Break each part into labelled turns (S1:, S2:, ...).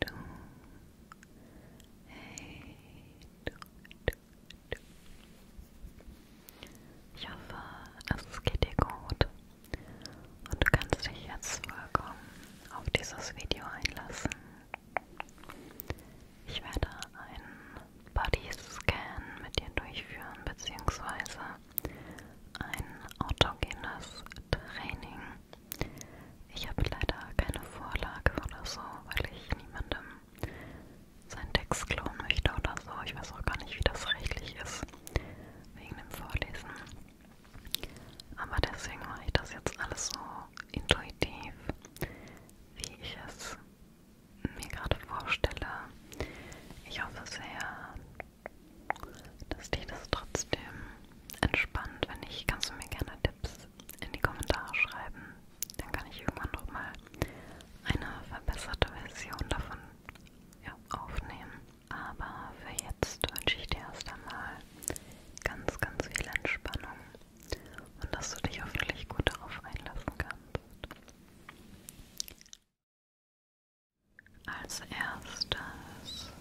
S1: Du. Hey, du, du, du. Ich hoffe, also es geht dir gut und du kannst dich jetzt vollkommen auf dieses Video einlassen. Ich werde einen Body-Scan mit dir durchführen, beziehungsweise ein autogenes Training ich habe leider keine Vorlage oder so, weil ich niemandem seinen Text klauen möchte oder so. Ich weiß auch gar nicht, wie das rechtlich ist, wegen dem Vorlesen. Aber deswegen mache ich das jetzt alles so intuitiv, wie ich es mir gerade vorstelle. Ich hoffe sehr, das Lied ist trotzdem entspannt. Wenn nicht, kannst du mir gerne Tipps in die Kommentare schreiben. Dann kann ich irgendwann nochmal eine verbesserte Version davon ja, aufnehmen. Aber für jetzt wünsche ich dir erst einmal ganz, ganz viel Entspannung und dass du dich hoffentlich gut darauf einlassen kannst. Als erstes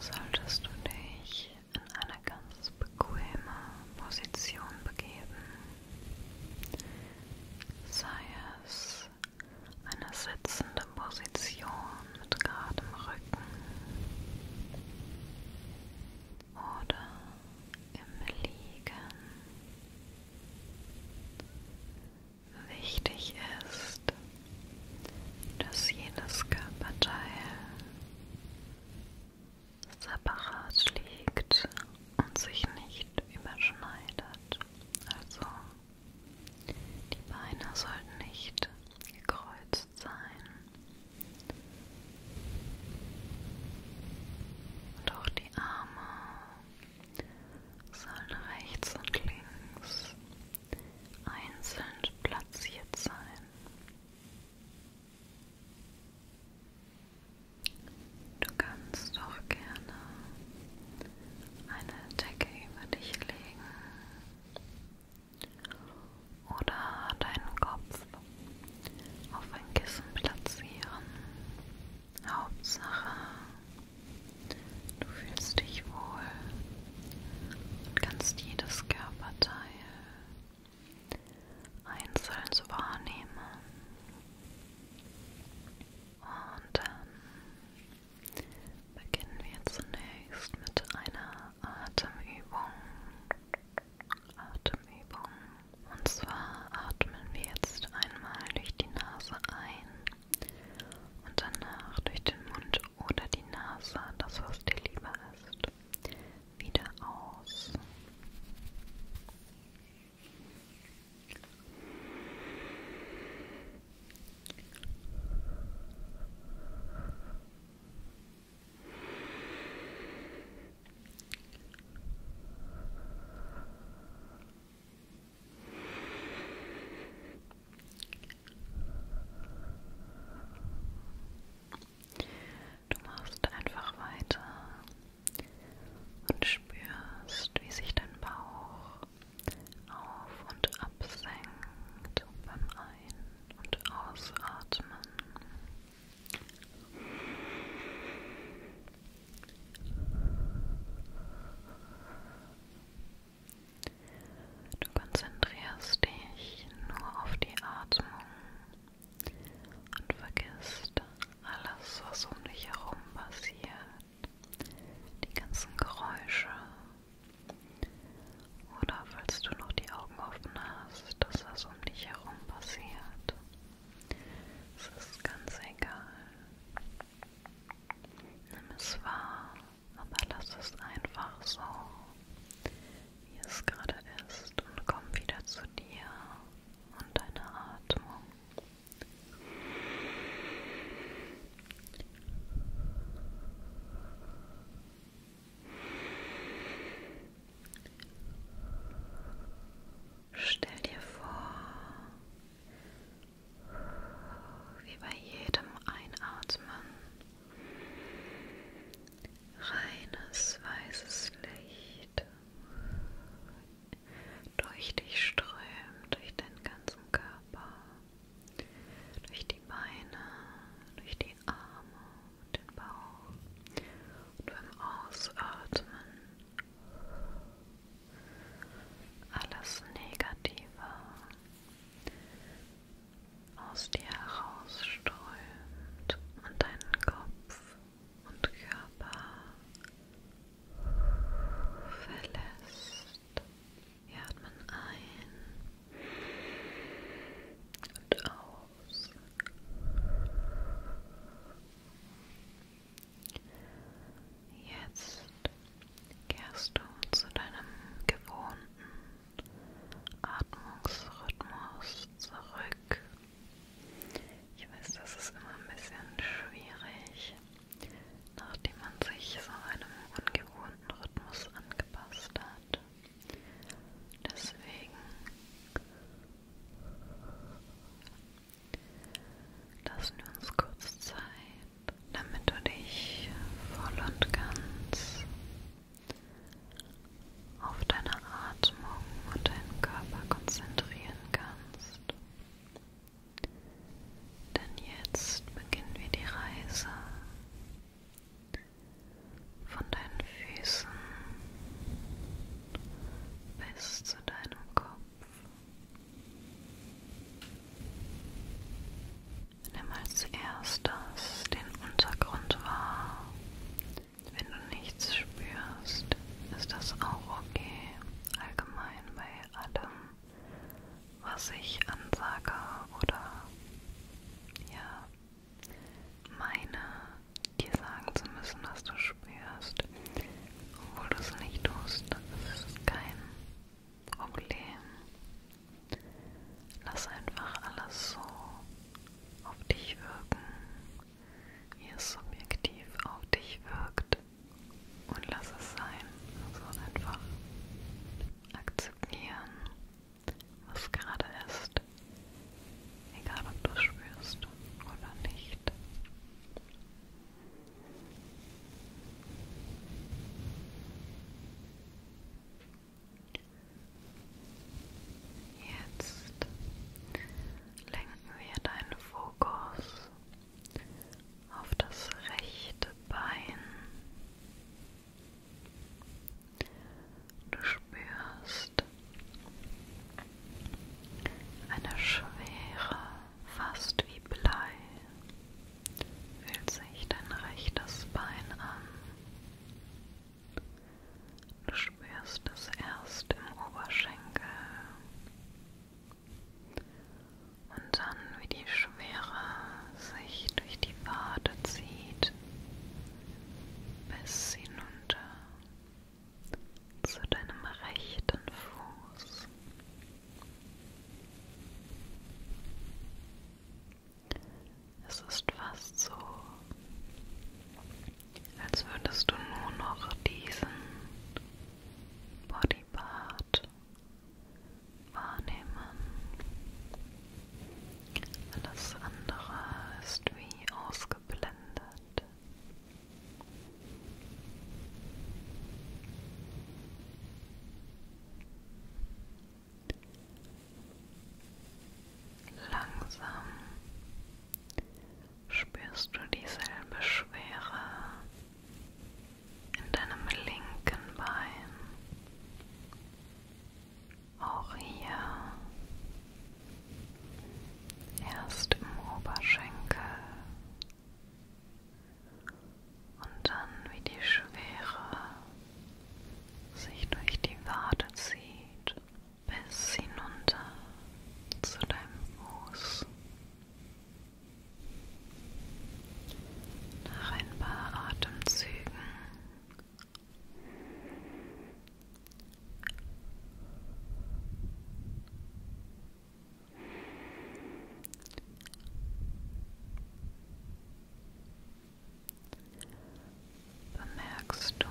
S1: solltest du dich in eine ganz bequeme Position begeben, sei es eine sitzende Position mit geradem Rücken oder im Liegen. Wichtig ist, dass jedes Körperteil separat liegt und sich nicht überschneidet. Also die Beine sollten nicht gekreuzt sein. Und auch die Arme sollen rechts und links einzeln platziert sein. Du kannst doch gerne eine Decke über dich legen oder deinen Kopf auf ein Kissen platzieren. Hauptsache, Du fühlst dich wohl und kannst jedes Körperteil einzeln wahrnehmen. Und dann beginnen wir zunächst mit einer Atemübung. Atemübung. Und zwar atmen wir jetzt einmal durch die Nase ein und danach durch den Mund oder die Nase, das was dir lieber ist, wieder aus. Du machst einfach weiter und spürst, wie sich dein Bauch auf und absenkt beim Ein- und Ausatmen. Du konzentrierst dich nur auf die Atmung und vergisst alles, was um dich herum passiert, die ganzen Geräusche. Oder falls du noch die Augen offen hast, dass das um dich herum passiert. Es ist ganz egal. Nimm es wahr sondern lass es einfach so, wie es gerade ist und komm wieder zu dir und deiner Atmung. Stell dir vor, wie bei jedem Einatmen reines weißes Licht durch dich strömt, durch deinen ganzen Körper, durch die Beine, durch die Arme und den Bauch und beim Ausatmen alles Negative aus dir herausströmt und deinen Kopf und Körper verlässt. Wir atmen ein und aus. Jetzt kehrst du zu deinem gewohnten Atmungsrhythmus zurück. Ich weiß, das ist immer ein bisschen schwierig, nachdem man sich so einem ungewohnten Rhythmus angepasst hat. Deswegen lassen wir uns kurz Zeit, damit du dich voll und ganz auf deine Atmung und deinen Körper konzentrieren kannst. Denn jetzt beginnen wir die Reise von deinen Füßen bis zu deinem Kopf. Nimm als erstes den Untergrund wahr. Wenn du nichts spürst, ist das auch okay. Allgemein bei allem, was ich ansage oder ja meine, dir sagen zu müssen, was du spürst, obwohl du es nicht tust. Das ist kein Problem. Lass einfach alles so auf dich wirken, wie es subjektiv auf dich wirkt. Und lass es sein. Also einfach akzeptieren, was gerade ist. Egal ob du es spürst oder nicht. Jetzt lenken wir deinen Fokus auf das rechte Bein. Du spürst eine schwere, fast wie Blei Fühlt sich dein rechtes Bein an. Du spürst es erst im Oberschenkel und dann, wie die Schwere sich durch die Wade zieht, bis hinunter zu deinem rechten Fuß. Es ist fast so, als würdest du nur noch diesen Bodypart wahrnehmen. Alles andere ist wie ausgeblendet. Langsam spürst du dieselbe Schwere in deinem linken Bein. Auch hier erst im Oberschenkel, und dann wie die Schwere sich durch die Wade zieht bis hinunter zu deinem Fuß. Nach ein paar Atemzügen Bemerkst du,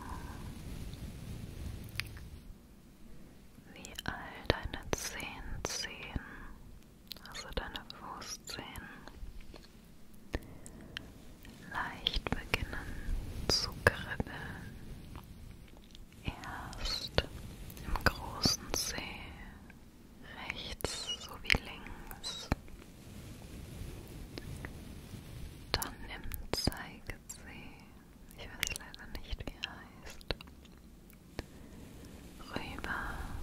S1: wie all deine Zehenzehen, also deine Fußzehen, leicht beginnen zu kribbeln? Erst im großen Zeh rechts sowie links. Dann im Zeigersee, ich weiß leider nicht wie er heißt, rüber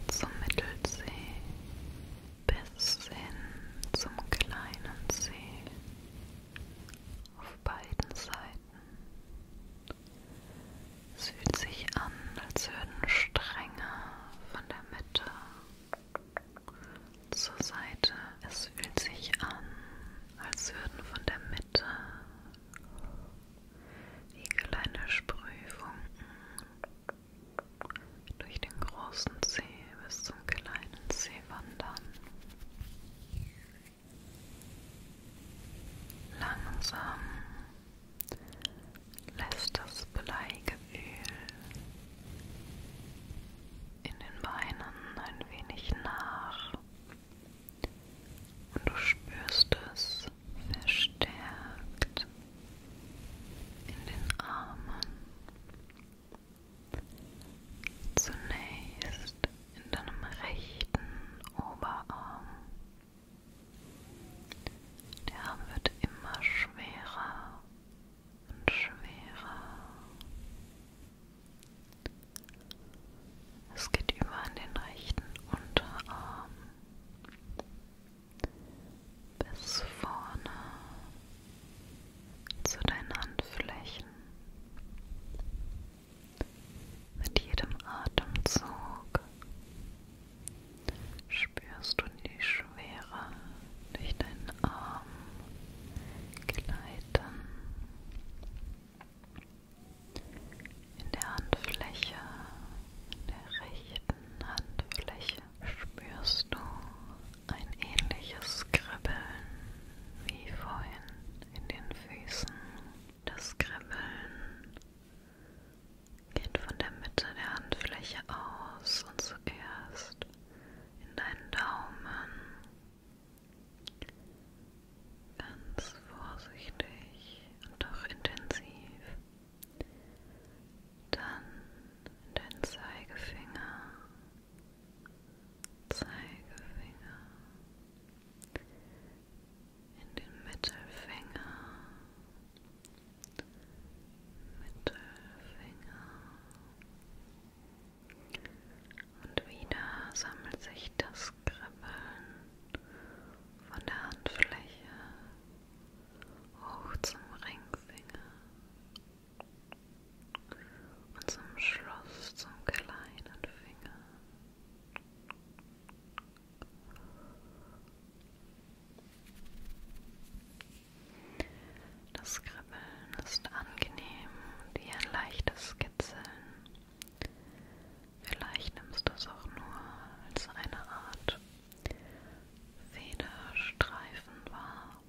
S1: zum Mittelsee bis hin zum kleinen See auf beiden Seiten es fühlt sich an, als würden Stränge von der Mitte zur Seite. Es fühlt sich an, als würden von der Mitte wie kleine Sprühfunken durch den großen See bis zum kleinen See wandern. Langsam lässt das Bleigefühl in den Beinen ein wenig nach und du spürst es verstärkt in den Armen. Zunächst in deinem rechten Oberarm. Der Arm wird immer schwerer und schwerer. Es geht über an den rechten Unterarm bis vorne zu deinen Handflächen. Mit jedem Atemzug Spürst du die Schwere durch deinen Arm gleiten? In der Handfläche, in der rechten Handfläche spürst du ein ähnliches Kribbeln wie vorhin in den Füßen. Das Kribbeln Geht von der Mitte der Handfläche aus und zuerst in deinen Daumen. Ganz vorsichtig und doch intensiv. Dann in deinen Zeigefinger. Zeigefinger in den Mittelfinger, Mittelfinger und wieder sammelt sich das Kribbeln von der Handfläche hoch zum Ringfinger und zum Schluss zum kleinen Finger. Das Kribbeln ist angenehm wie ein leichtes Kitzeln. Vielleicht nimmst du es auch nur als eine Art Federstreifen wahr.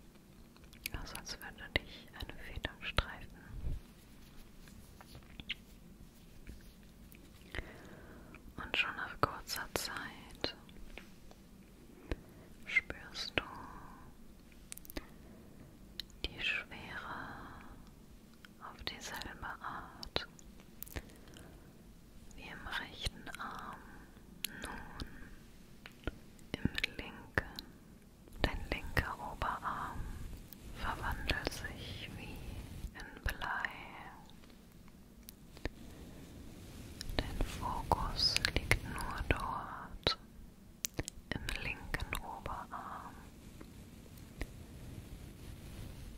S1: Also als würde dich eine Feder streifen. Und schon nach kurzer Zeit spürst du die Schwere auf dieselbe Art wie im rechten Arm nun im linken. Dein linker Oberarm verwandelt sich wie in Blei. Dein Fokus liegt nur dort im linken Oberarm,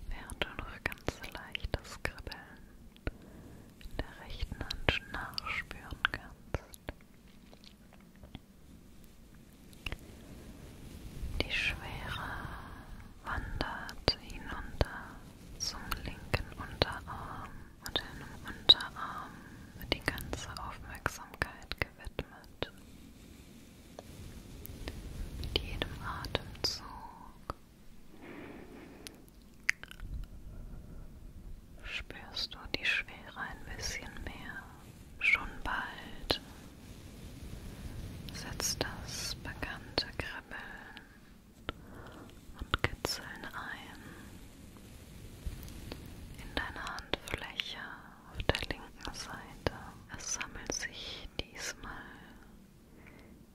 S1: während du noch ganz leichtes Kribbeln in der rechten Hand nachspüren kannst. Die Schwere wandert hinunter zum linken Unterarm und einem Unterarm wird die ganze Aufmerksamkeit gewidmet. Mit jedem Atemzug spürst du die Schwere ein bisschen mehr. Schon bald setzt das bekannte Kribbeln und kitzeln ein in deine Handfläche auf der linken Seite. Es sammelt sich diesmal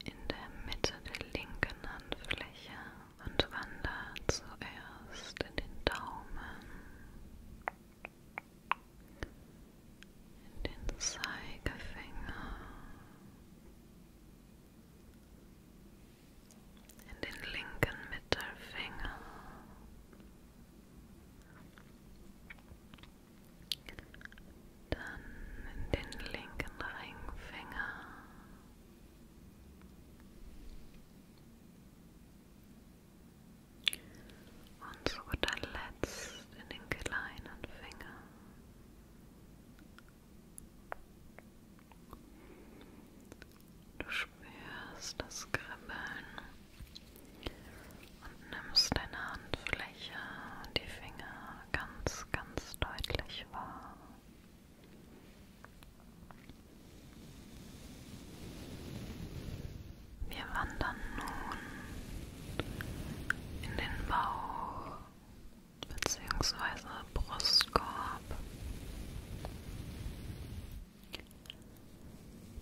S1: in der Mitte der linken Handfläche und wandert zuerst in den Daumen, in den Zeigefinger, in den linken Mittelfinger, dann in den linken Ringfinger. Und zu guter Letzt in den kleinen Finger. Du spürst das Kribbeln und nimmst deine Handfläche und die Finger ganz, ganz deutlich wahr. Wir wandern nun in den Bauch bzw. Brustkorb.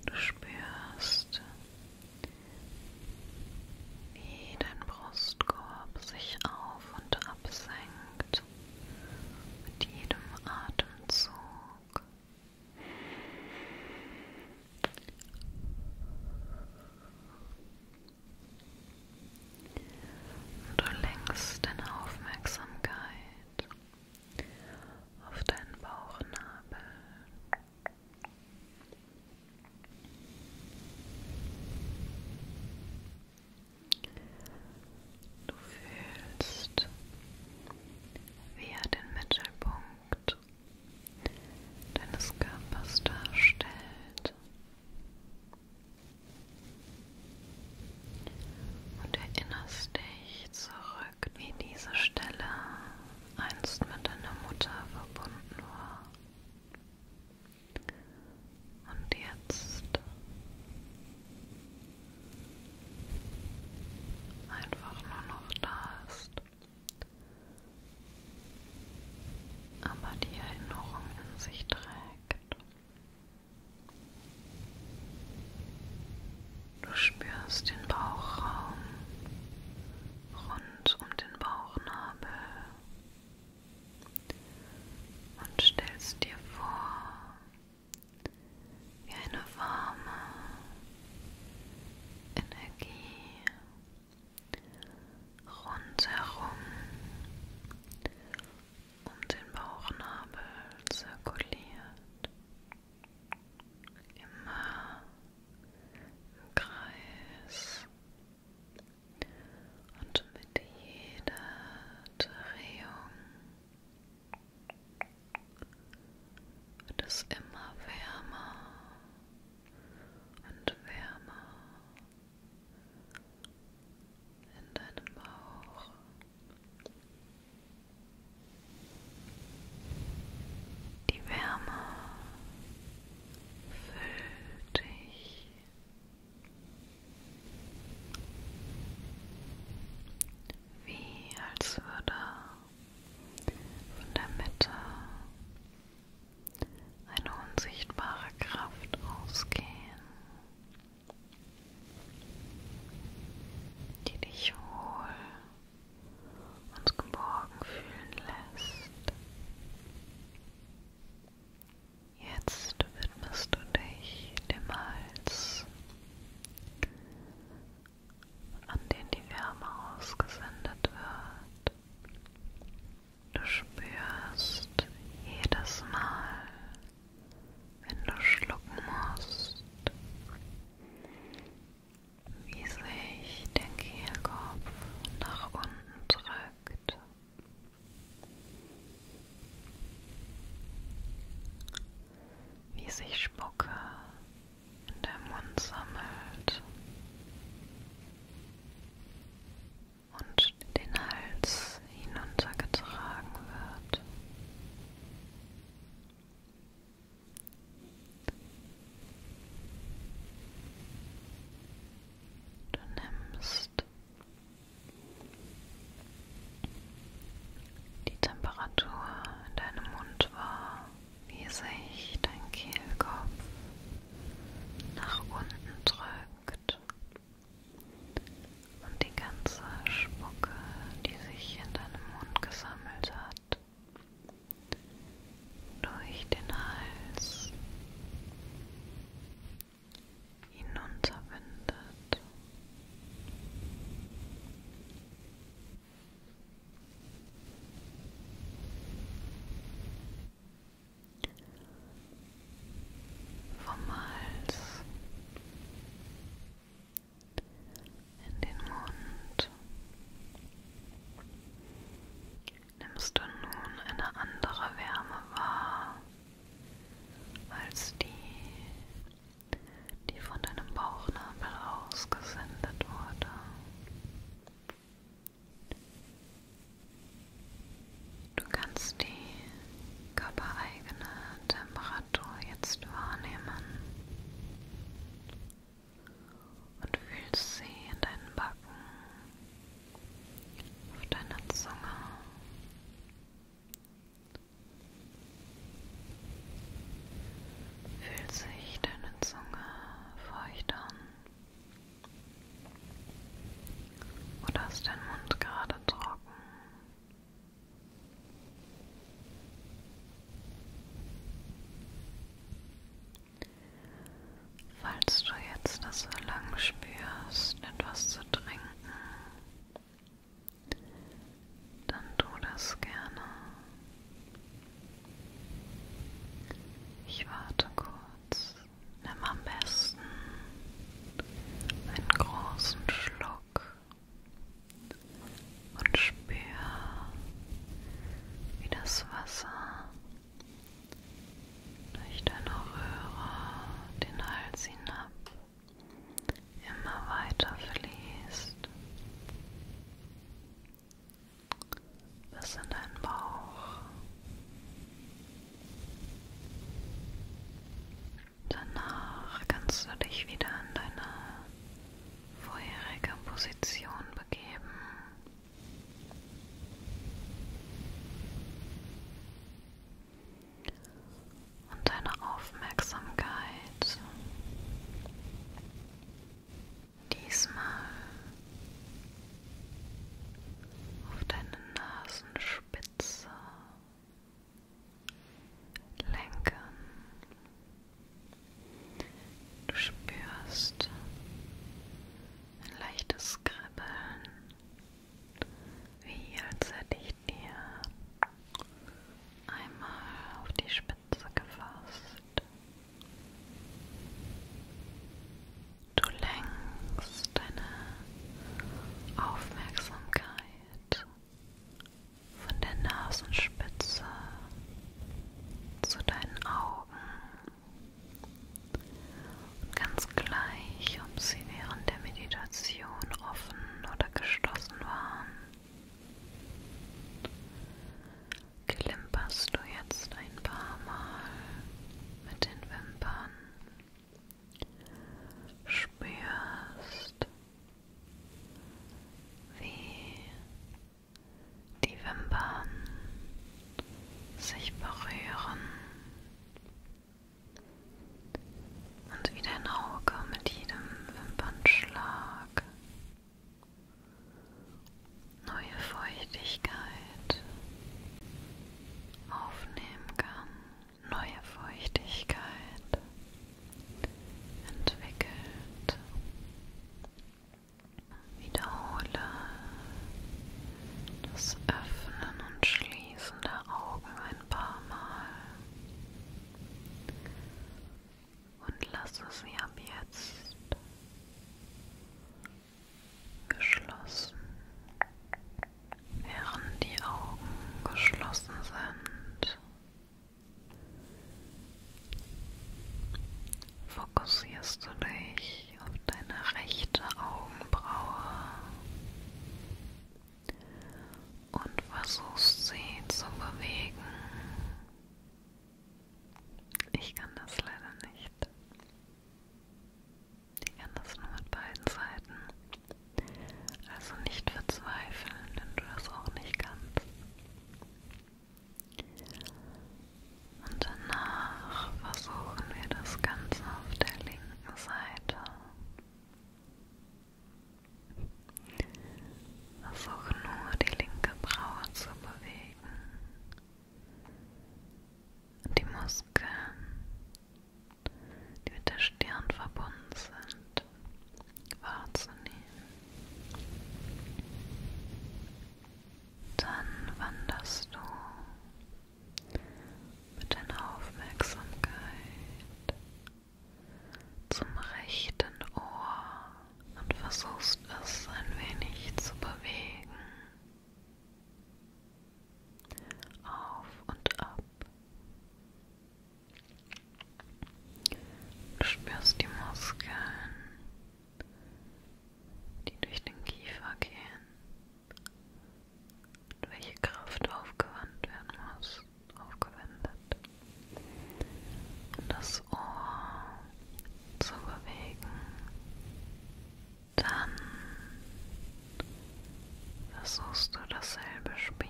S1: Du spürst, wie dein Brustkorb sich auf und absenkt mit jedem Atemzug. Du lenkst deine Aufmerksamkeit auf deinen Bauchnabel. Du fühlst, wie er den Mittelpunkt deines Körpers darstellt. Und erinnerst dich zurück, wie diese Stelle einst mit deiner Mutter verbunden war. Und jetzt einfach nur noch da ist aber die Erinnerung in sich trägt. Du spürst den Bauchraum rund um den Bauchnabel und stellst dir vor, wie eine warme Energie rundherum um den Bauchnabel zirkuliert, immer im Kreis und mit jeder Drehung wird es immer wärmer und wärmer in deinem Bauch. Die Wärme füllt dich. Wie als würde von der Mitte eine unsichtbare Kraft ausgehen, die dich wohl und geborgen fühlen lässt. Jetzt widmest du dich dem Hals, an den die Wärme ausgesendet wird. Du spürst jedes Mal, wenn du schlucken musst, wie sich der Kehlkopf nach unten drückt. Wie sich Spucke in der Mund sammelt und den Hals hinuntergetragen wird. Du nimmst die Temperatur in deinem Mund wahr, wie sich dein Kehlkopf nach unten drückt und die ganze Spucke, die sich in deinem Mund gesammelt hat, durch den Hals hinunterwindet. Und vom Hals in den Mund. Nimmst du nun eine andere Wärme wahr als die, die von deinem Bauchnabel ausgesendet wurde? Du kannst die körpereigene Temperatur jetzt wahrnehmen und fühlst sie in deinen Backen, auf deiner Zunge. Fühlt sich deine Zunge feucht an? Oder ist dein Mund gerade trocken? Falls du jetzt das Verlangen spürst, etwas zu trinken, dann tu das gerne. Ich warte kurz. Nimm am besten einen großen Schluck und spür, wie das Wasser durch deine Röhre den Hals hinab immer weiter fließt bis in deinen Bauch. Danach kannst du dich wieder in deine vorherige Position begeben. Und deine Aufmerksamkeit diesmal auf deine Nasenspitze lenken. Du spürst ein leichtes Kribbeln, wie als hätte ich dir einmal auf die Spitze gefasst. Du lenkst deine Aufmerksamkeit von der Nasenspitze zu deinen Augen und ganz gleich, ob sie während der Meditation offen oder geschlossen waren, klimperst du jetzt ein paar Mal mit den Wimpern spürst, wie die Wimpern sich berühren und wie dein Auge mit jedem Wimpernschlag neue Feuchtigkeit aufnehmen kann, neue Feuchtigkeit entwickelt. Wiederhole das Öffnen und Schließen der Augen ein paar Mal und lasse sie ab jetzt geschlossen, während die Augen geschlossen sind. Fokussierst du dich auf deine rechte Augenbraue und versuchst sie zu bewegen. Ich kann das leider nicht. Ich kann das nur mit beiden Seiten. Also nicht verzweifeln, wenn du das auch nicht kannst. Und danach versuchen wir das Ganze auf der linken Seite. Versuche nur die linke Braue zu bewegen und die Muskeln, die mit der Stirn verbunden sind, wahrzunehmen. Dann wanderst du mit deiner Aufmerksamkeit zum rechten Ohr und versuchst es ein wenig zu bewegen auf und ab. Du spürst die Muskeln, die durch den Kiefer gehen und welche Kraft aufgewandt werden muss, aufgewendet. Und das Ohr zu bewegen. Dann versuchst du dasselbe Spiel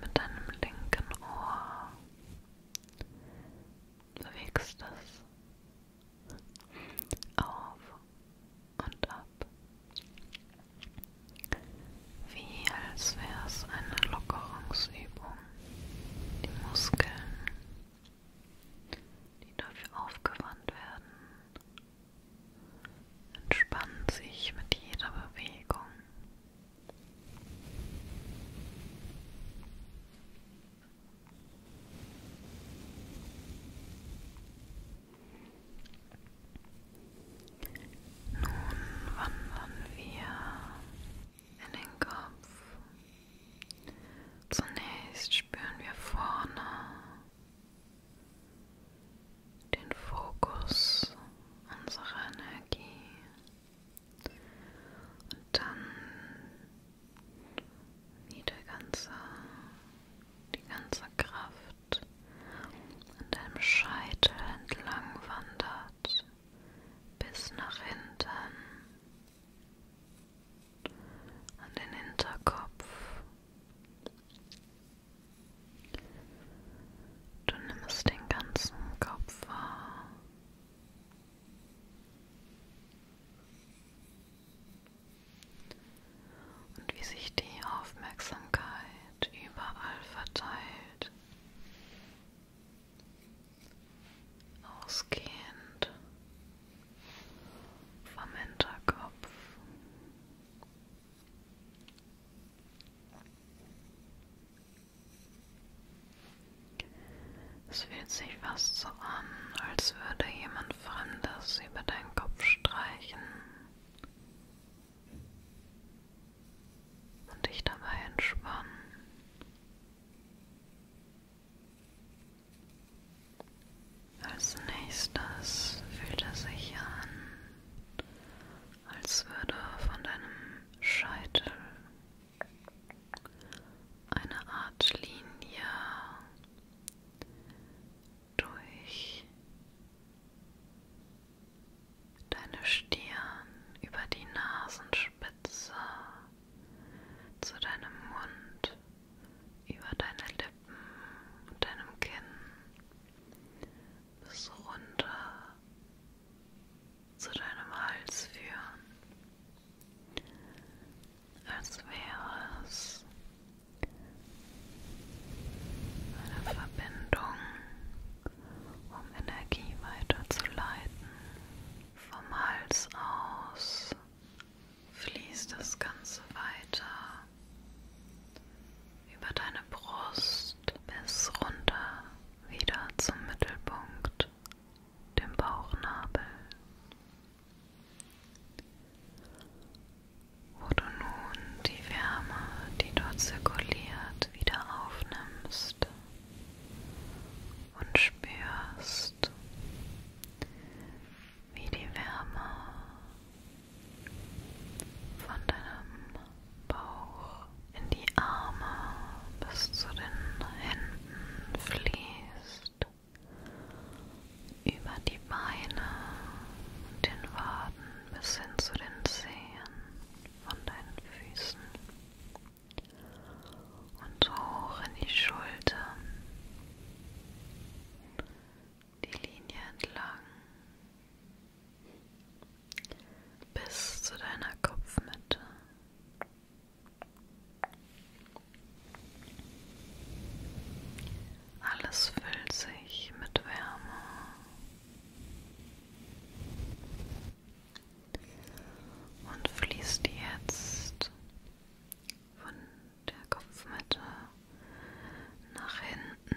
S1: mit deinem linken Ohr. Bewegst es auf und ab, wie als wäre es eine Lockerungsübung. Die Muskeln die dafür aufgewandt werden, entspannen sich mit jeder Bewegung. Nun wandern wir in den Kopf. Zunächst spüren wir vorne den Fokus unserer Energie und dann wieder ganze, die ganze Kraft an deinem Scheitel entlang wandert bis nach hinten an den Hinterkopf. Du nimmst den ganzen Kopf wahr. Und wie sich die Aufmerksamkeit überall verteilt, ausgehend vom Hinterkopf. Es fühlt sich fast so an, als würde jemand Fremdes über deinen Kopf streichen und dich dabei entspannen. Als nächstes fühlt es sich an, als würde von deinem Scheitel eine Art Linie durch deine Stirn über die Nasenspitze zu deinem Mund über deine Lippen Lippen und deinem Kinn bis runter zu deinem Hals führen, als wäre es eine Verbindung, um Energie weiterzuleiten vom Hals aus fließt das Ganze weiter über deine Brust bis runter wieder zum Mittelpunkt, dem Bauchnabel, wo du nun die Wärme, die dort zirkuliert, wieder aufnimmst und spürst, wie die Wärme von deinem Bauch in die Arme bis zu den Händen fließt, über die Beine und den Waden bis hin zu den Zehen von deinen Füßen und hoch in die Schultern die Linie entlang bis zu deiner Kopfmitte. Alles füllt sich mit Wärme. Und fließt jetzt von der Kopfmitte äh, nach hinten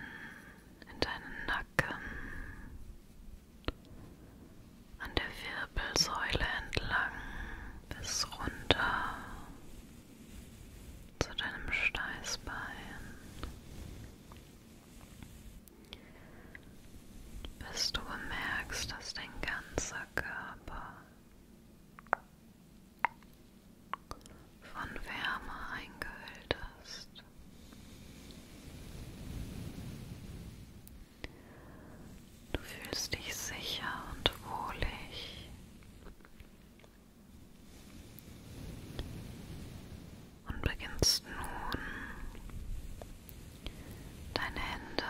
S1: in deinen Nacken an der Wirbelsäule entlang bis runter zu deinem Steißbein. Bis du bemerkst, dass dein ganzer Körper von Wärme eingehüllt ist. Du fühlst dich sicher und wohlig. Und beginnst nun deine Hände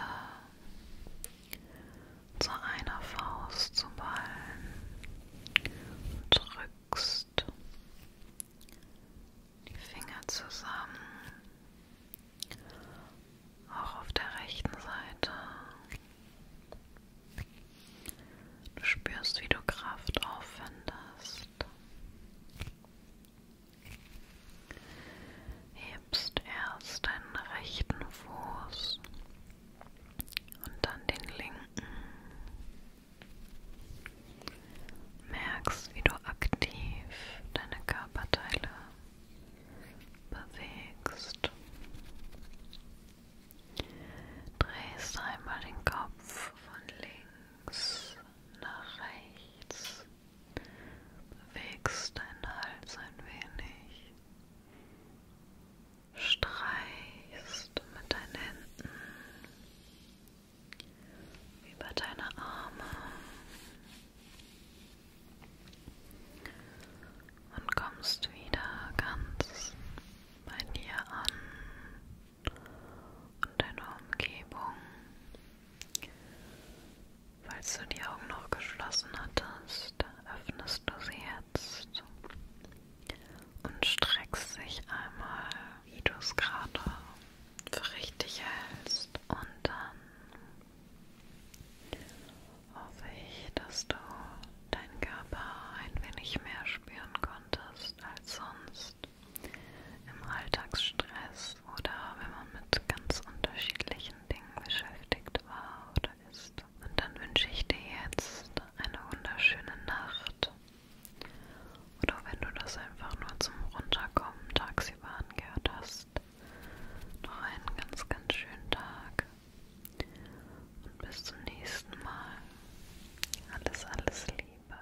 S1: zu einer Faust zu ballen und drückst die Finger zusammen, auch auf der rechten Seite. Du spürst, wie du Kraft aufwendest. Hebst erst deinen rechten Fuß und dann den linken. Merkst, wie du aktiv deine Körperteile bewegst. Drehst einmal den Kopf von links nach rechts. Bewegst deinen Hals ein wenig streichst mit deinen Händen über deine Arme und kommst wieder ganz bei dir an und deiner Umgebung. Falls du die Augen noch geschlossen hattest, öffnest du sie hinsetzt und streckst dich einmal, wie du es gerade für richtig hältst. Und dann hoffe ich, dass du deinen Körper ein wenig mehr spüren konntest als sonst im Alltagsstress oder wenn man mit ganz unterschiedlichen Dingen beschäftigt war oder ist. Und dann wünsche ich dir jetzt eine wunderschöne Nacht. Oder wenn du das einfach nur zum Runterkommen tagsüber angehört hast, noch einen ganz, ganz schönen Tag. Und bis zum nächsten Mal. Alles, alles Liebe.